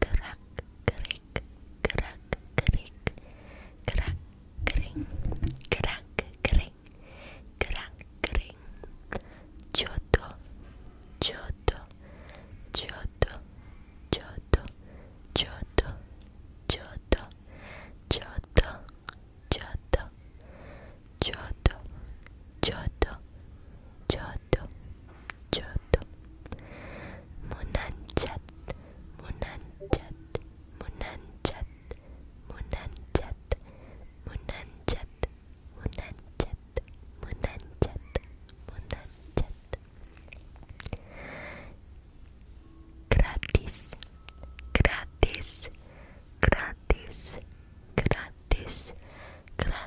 crack, crack, crack, crack, crack, crack, crack, crack, crack, crack, Choto, choto, choto, choto, choto, choto, choto, choto, choto, choto, choto, jodoh jodoh munajat munajat munajat munajat munajat munajat munajat munajat gratis gratis gratis gratis gratis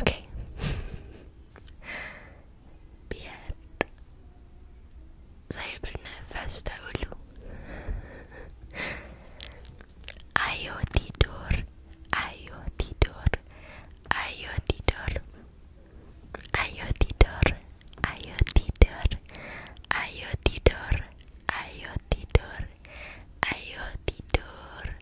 Ok. Diğer sahibine fazla ulu. Ayo tidur, ayo tidur, ayo tidur, ayo tidur, ayo tidur, ayo tidur, ayo tidur, ayo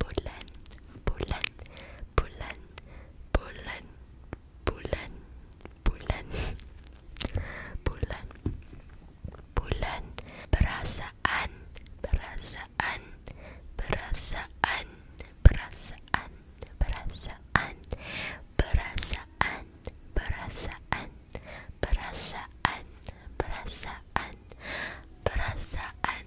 bulan bulan bulan bulan bulan bulan bulan bulan perasaan perasaan perasaan perasaan perasaan perasaan perasaan perasaan perasaan perasaan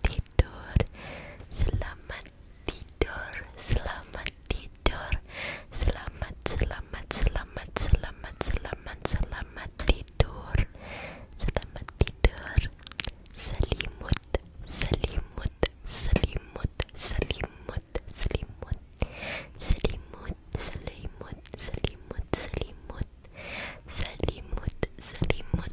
tidur, selamat tidur, selamat tidur, selamat, selamat, selamat, selamat, selamat, selamat tidur, selamat tidur, selimut, selimut, selimut, selimut, selimut, selimut, selimut, selimut, selimut, selimut, selimut,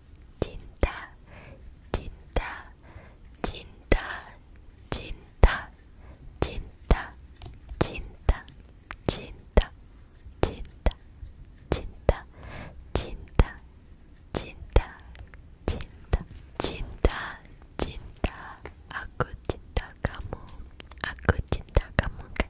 cinta, cinta, cinta, cinta, cinta, cinta, cinta, cinta, cinta, cinta, cinta, cinta, cinta, cinta. Aku cinta kamu, aku cinta kamu kan?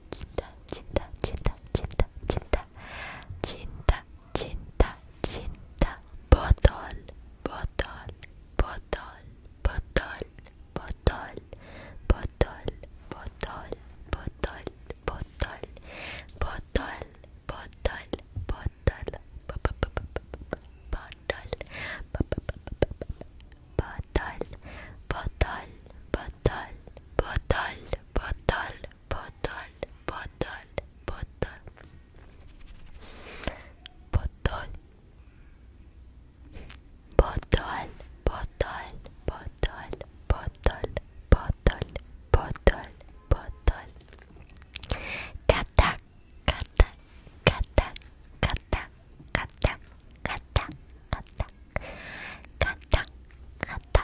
cinta, cinta, cinta, cinta, cinta, cinta, cinta, cinta, botol, botol, botol, botol, botol, botol, botol, botol, botol, botol, botol, botol, botol, botol, botol, botol, botol, bottle, bottle, bottle, bottle, bottle, bottle, bottle, bottle, bottle, bottle, bottle, bottle, kata, kata, kata, kata, kata, kata, kata, kata, kata.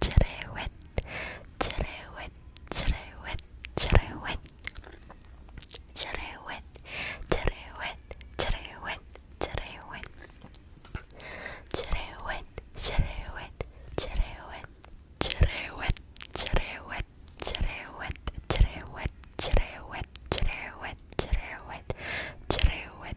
wet, today wet, today wet, today wet, today wet, today wet, today wet, today wet, today wet, today wet, today wet, today wet, today wet, today wet, today wet, today wet, today wet, today wet, today wet, today wet.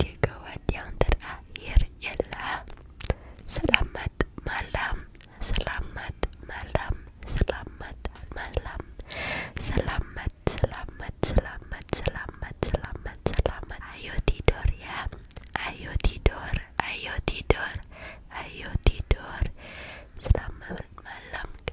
Gigawan yang terakhir ialah Selamat malam, selamat malam, selamat malam, selamat, selamat, selamat, selamat, selamat, selamat. Ayo tidur ya, ayo tidur, ayo tidur, ayo tidur. Selamat malam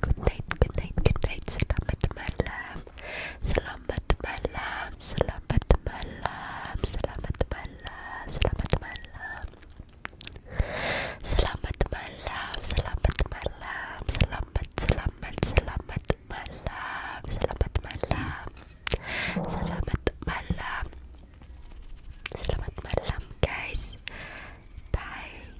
Good night, good night, good night. Selamat malam. Selamat malam. Selamat malam. Selamat malam. Selamat malam. Selamat malam. Selamat malam. Selamat selamat selamat malam. Selamat malam. Selamat malam. Selamat malam, guys. Bye.